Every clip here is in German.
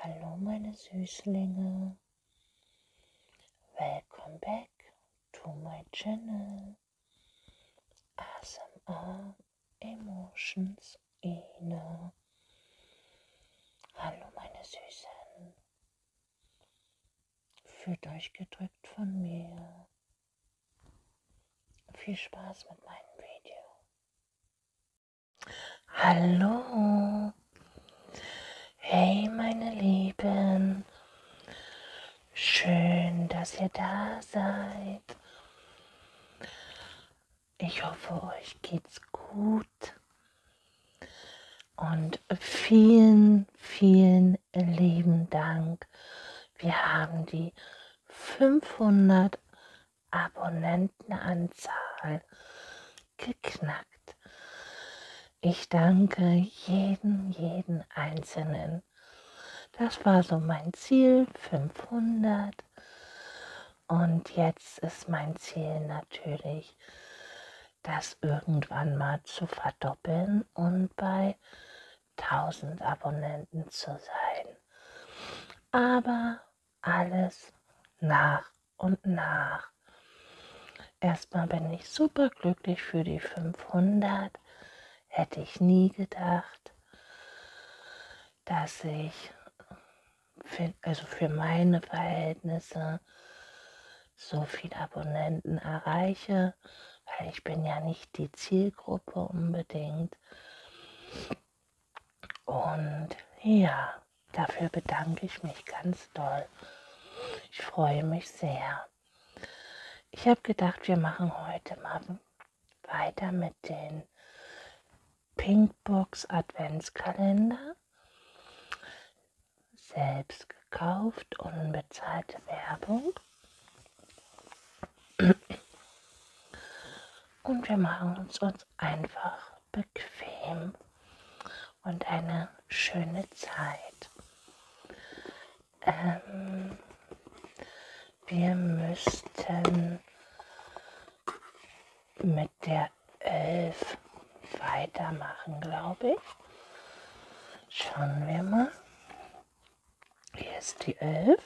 Hallo meine Süßlinge. Welcome back to my channel. ASMR Emotions Ina. Hallo meine Süßen. Fühlt euch gedrückt von mir. Viel Spaß mit meinem Video. Hallo. Hey meine Lieben. Schön, dass ihr da seid. Ich hoffe, euch geht's gut. Und vielen vielen, vielen lieben Dank. Wir haben die 500 Abonnentenanzahl geknackt. Ich danke jeden, jeden Einzelnen. Das war so mein Ziel, 500. Und jetzt ist mein Ziel natürlich, das irgendwann mal zu verdoppeln und bei 1000 Abonnenten zu sein. Aber alles nach und nach. Erstmal bin ich super glücklich für die 500. Hätte ich nie gedacht, dass ich, für, also für meine Verhältnisse, so viele Abonnenten erreiche, weil ich bin ja nicht die Zielgruppe unbedingt. Und ja, dafür bedanke ich mich ganz doll. Ich freue mich sehr. Ich habe gedacht, wir machen heute mal weiter mit den Pinkbox Adventskalender. Selbst gekauft, unbezahlte Werbung. Und wir machen es uns einfach bequem und eine schöne Zeit. Ähm, wir müssten mit der 11 weitermachen, glaube ich. Schauen wir mal. Hier ist die 11.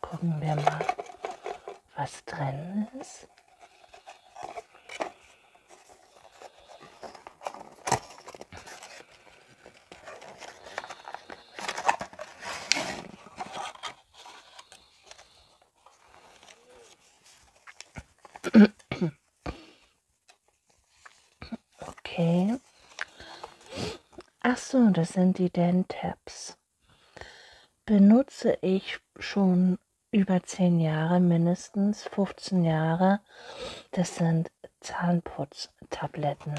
Gucken wir mal, was drin ist. Okay. Achso, das sind die Dan-Tabs. Benutze ich schon über 10 Jahre, mindestens 15 Jahre. Das sind Zahnputztabletten.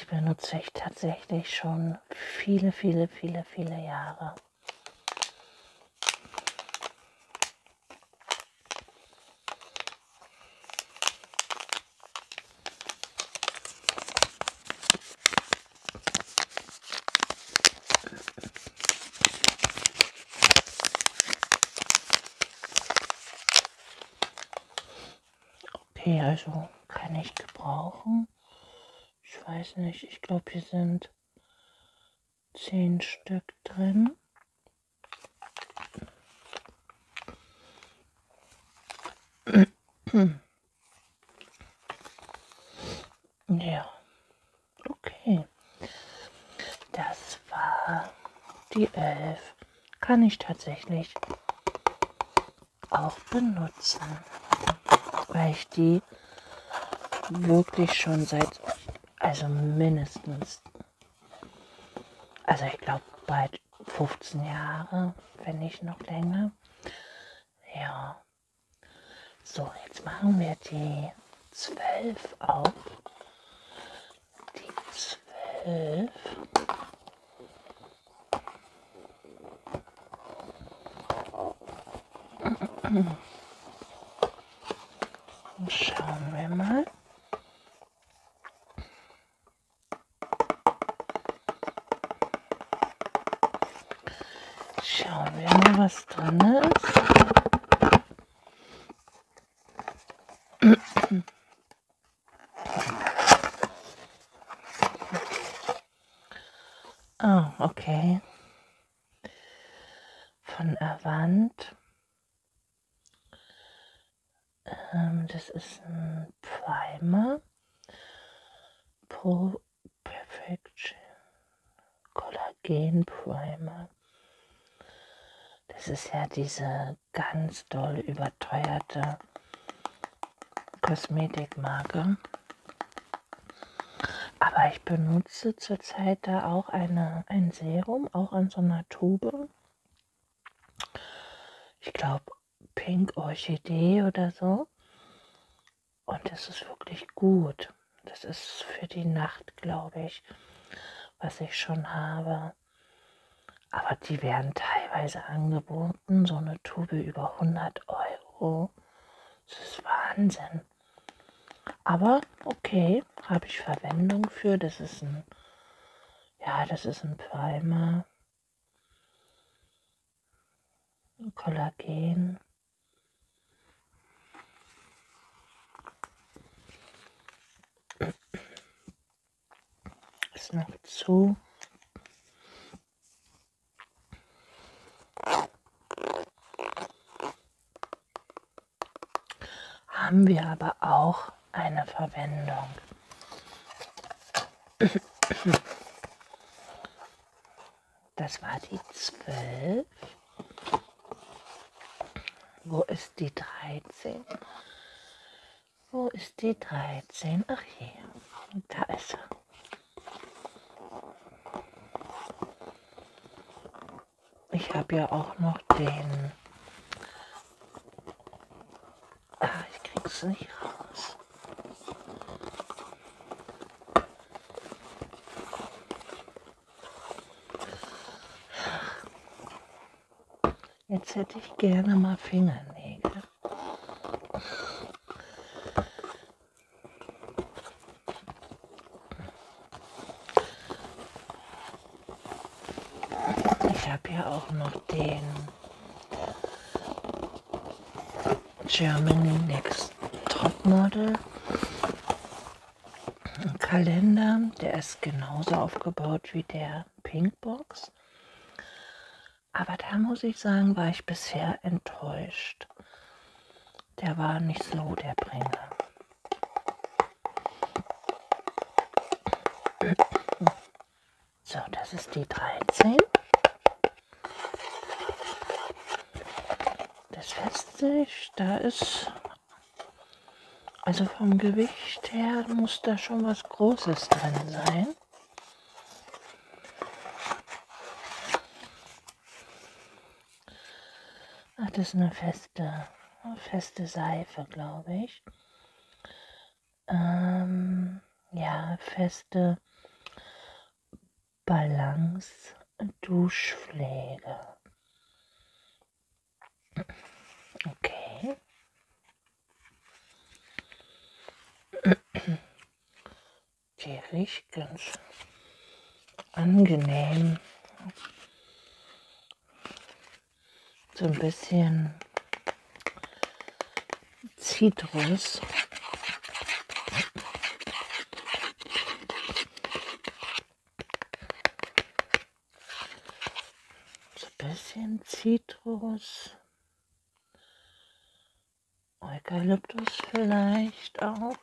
Die benutze ich tatsächlich schon viele, viele, viele, viele Jahre. Okay, also kann ich gebrauchen. Ich weiß nicht, ich glaube, hier sind zehn Stück drin. Ja, okay. Das war die elf. Kann ich tatsächlich auch benutzen, weil ich die die wirklich schon seit, also mindestens, also ich glaube bald 15 Jahre, wenn nicht noch länger. Ja. So, jetzt machen wir die 12 auf. Die 12. Schauen wir mal. Schauen wir mal, was drin ist. Ah, oh, okay von Avant. Ähm, das ist ein Primer Pro Perfection Kollagen Primer. Das ist ja diese ganz doll überteuerte Kosmetikmarke. Aber ich benutze zurzeit da auch eine, ein Serum, auch an so einer Tube. Ich glaube, Pink Orchidee oder so. Und das ist wirklich gut. Das ist für die Nacht, glaube ich, was ich schon habe. Aber die werden teilweise angeboten, so eine Tube über 100 Euro. Das ist Wahnsinn. Aber okay, habe ich Verwendung für. Das ist ein, ja, das ist ein Primer. Ein Kollagen. Ist noch zu. Haben wir aber auch eine Verwendung. Das war die 12. Wo ist die 13? Wo ist die 13? Ach hier, da ist er. Ich habe ja auch noch den... Ah, ich krieg's nicht raus. Jetzt hätte ich gerne mal Fingernägel. Ich habe hier auch noch den Germany Next Topmodel Kalender. Der ist genauso aufgebaut wie der Pinkbox. Aber da muss ich sagen, war ich bisher enttäuscht. Der war nicht slow, der Bringer. So, das ist die 13. Das fässt sich, da ist, also vom Gewicht her muss da schon was Großes drin sein. Ach, das ist eine feste, eine feste Seife, glaube ich. Ähm, ja, feste Balance, Duschpflege. Okay der riecht ganz angenehm. So ein bisschen Zitrus. So ein bisschen Zitrus. Eukalyptus vielleicht auch.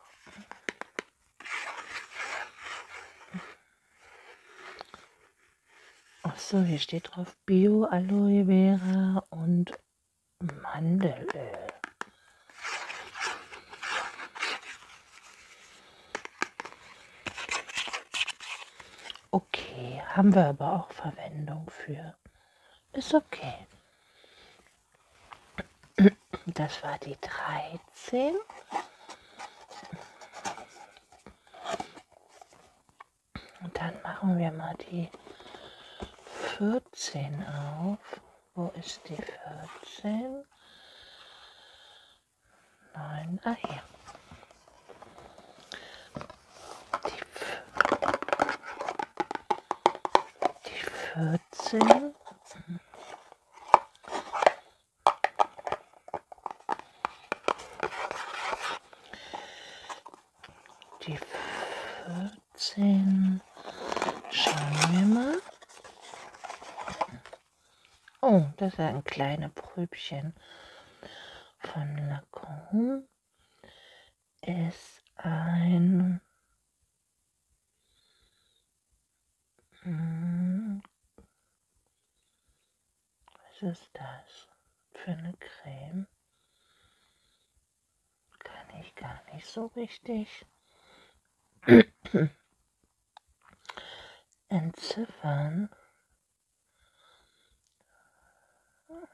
Achso, hier steht drauf Bio, Aloe Vera und Mandelöl. Okay, haben wir aber auch Verwendung für. Ist okay. Das war die 13. Und dann machen wir mal die 14 auf. Wo ist die 14? Nein, ah hier. Die, die 14 die 14. Schauen wir mal. Oh, das ist ein kleines Prübchen von Lacombe. Ist ein was ist das für eine Creme? Kann ich gar nicht so richtig entziffern,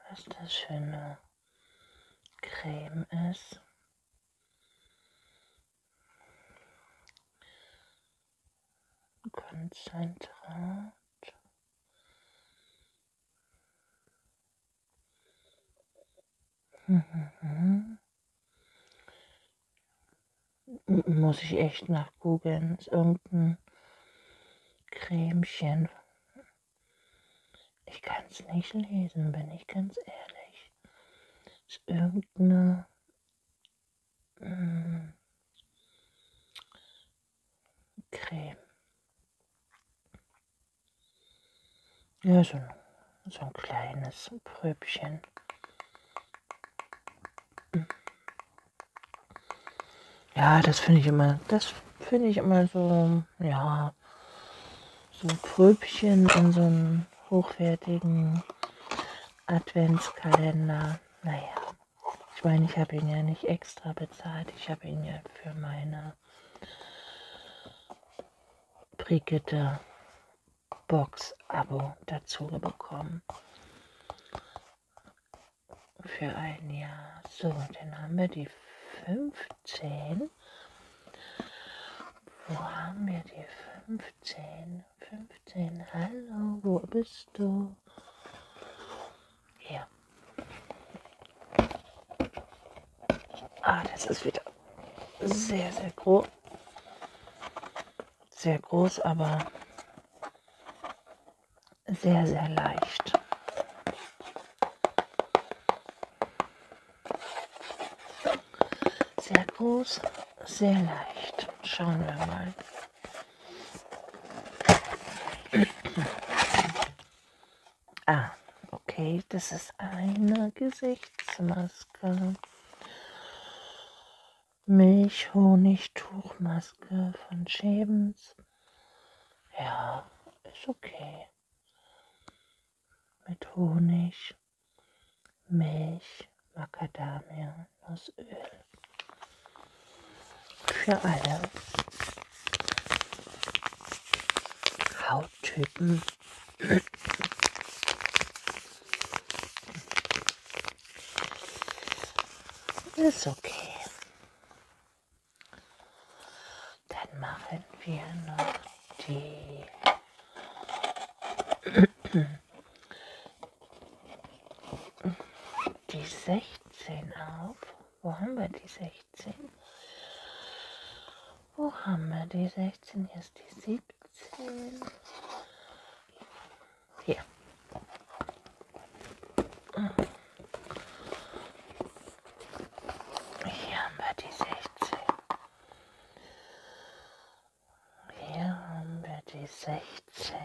was das für eine Creme ist. Konzentrat. Muss ich echt nach googeln. Ist irgendein Cremchen. Ich kann es nicht lesen, bin ich ganz ehrlich. Ist irgendeine mh, äh, Creme. Ja, so ein, so ein kleines Pröbchen. Ja, das finde ich immer, das finde ich immer so, ja, so ein Pröbchen in so einem einem hochwertigen Adventskalender. Naja, ich meine, ich habe ihn ja nicht extra bezahlt. Ich habe ihn ja für meine Brigitte Box Abo dazu bekommen. Für ein Jahr. So, dann haben wir die 15. Wo haben wir die 15? 15. Hallo, wo bist du? Hier. Ah, das ist wieder sehr, sehr groß. Sehr groß, aber sehr, sehr leicht. Sehr groß, sehr leicht. Schauen wir mal. ah, okay, das ist eine Gesichtsmaske. Milch-Honigtuchmaske von Schäbens. Ja, ist okay. Mit Honig. Milch, Macadamia, Nussöl. Für alle Hauttypen. Ist okay. Dann machen wir noch die die 16 auf. Wo haben wir die 16? Wo haben wir die 16? Hier ist die 17. Hier. Hier haben wir die 16. Hier haben wir die 16.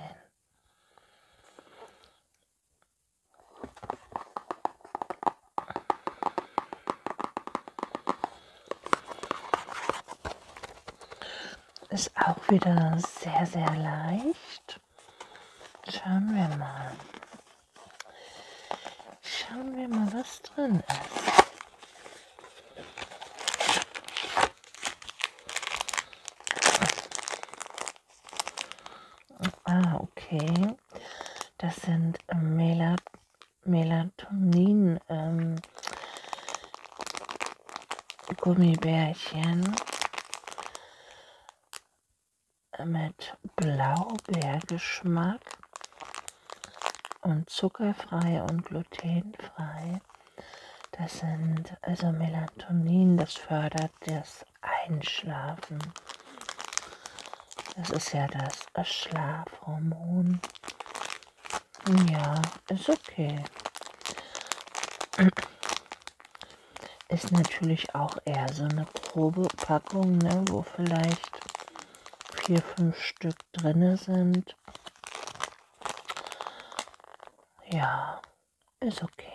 Ist auch wieder sehr, sehr leicht. Schauen wir mal. Schauen wir mal, was drin ist. Ah, okay. Das sind äh, Melat Melatonin ähm, Gummibärchen äh, mit Blaubeergeschmack und zuckerfrei und glutenfrei. Das sind also Melatonin, das fördert das Einschlafen. Das ist ja das Schlafhormon. Ja, ist okay. Ist natürlich auch eher so eine grobe Packung, ne, wo vielleicht vier, fünf Stück drinne sind. Ja, ist okay.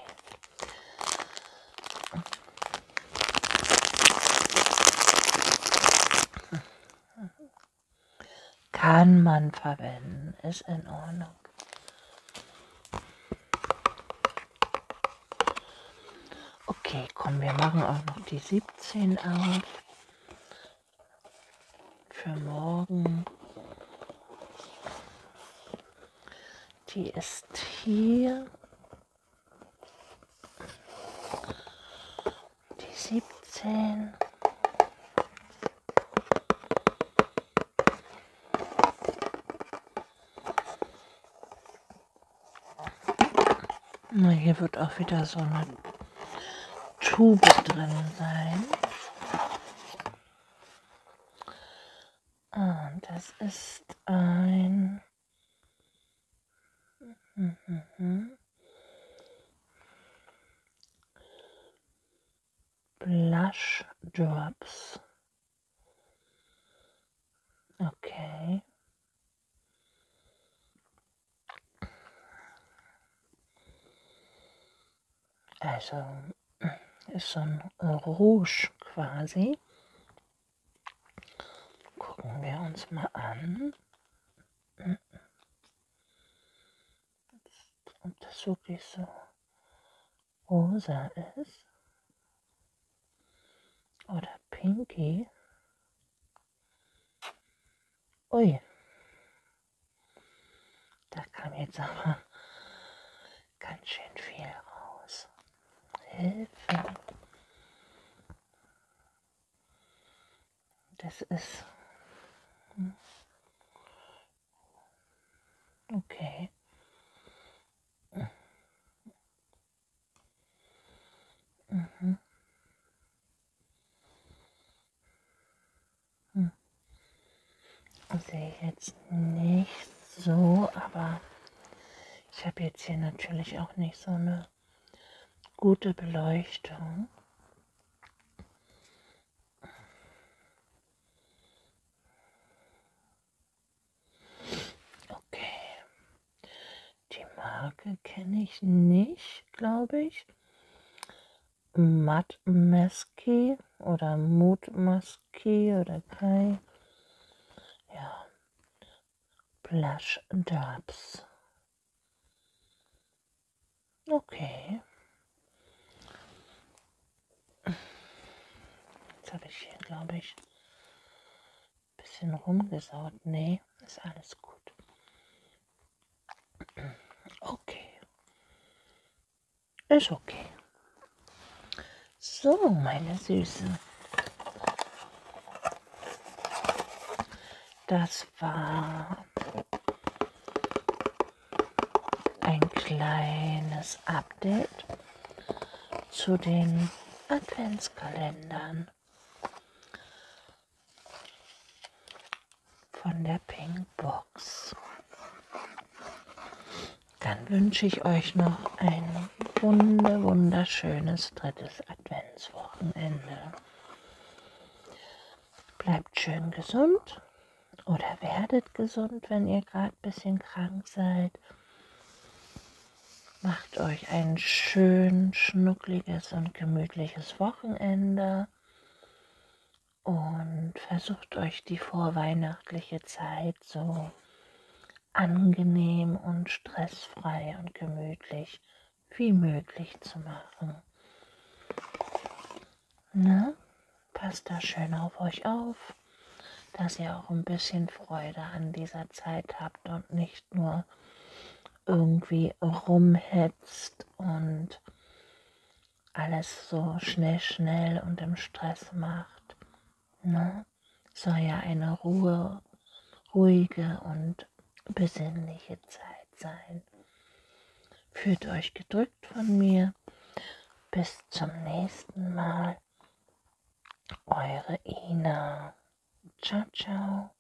Kann man verwenden, ist in Ordnung. Okay, komm, wir machen auch noch die 17 auf für morgen. Die ist hier. Die siebzehn. Na, hier wird auch wieder so eine Tube drin sein. Ah, das ist ein... Blush Drops. Okay. Also ist so ein Rouge quasi. Gucken wir uns mal an. Ob das wirklich so rosa ist. Oder pinky. Ui. Da kam jetzt aber ganz schön viel raus. Hilfe. Das ist... Hm. Okay. Mhm. Hm. Das also sehe ich jetzt nicht so, aber ich habe jetzt hier natürlich auch nicht so eine gute Beleuchtung. Okay. Die Marke kenne ich nicht, glaube ich. Matmeski oder Mutmaski oder Kai. Ja. Plush Jobs. Okay. Jetzt habe ich hier, glaube ich, ein bisschen rumgesaut. Nee, ist alles gut. Okay. Ist okay. So, meine Süßen. Das war ein kleines Update zu den Adventskalendern von der Pinkbox. Dann wünsche ich euch noch ein wunder, wunderschönes drittes Adventswochenende. Bleibt schön gesund oder werdet gesund, wenn ihr gerade ein bisschen krank seid. Macht euch ein schön schnuckliges und gemütliches Wochenende und versucht euch die vorweihnachtliche Zeit so angenehm und stressfrei und gemütlich wie möglich zu machen. Ne? Passt da schön auf euch auf, dass ihr auch ein bisschen Freude an dieser Zeit habt und nicht nur irgendwie rumhetzt und alles so schnell, schnell und im Stress macht. Ne? Soll ja eine Ruhe, ruhige und besinnliche Zeit sein. Fühlt euch gedrückt von mir. Bis zum nächsten Mal. Eure Ina. Ciao, ciao.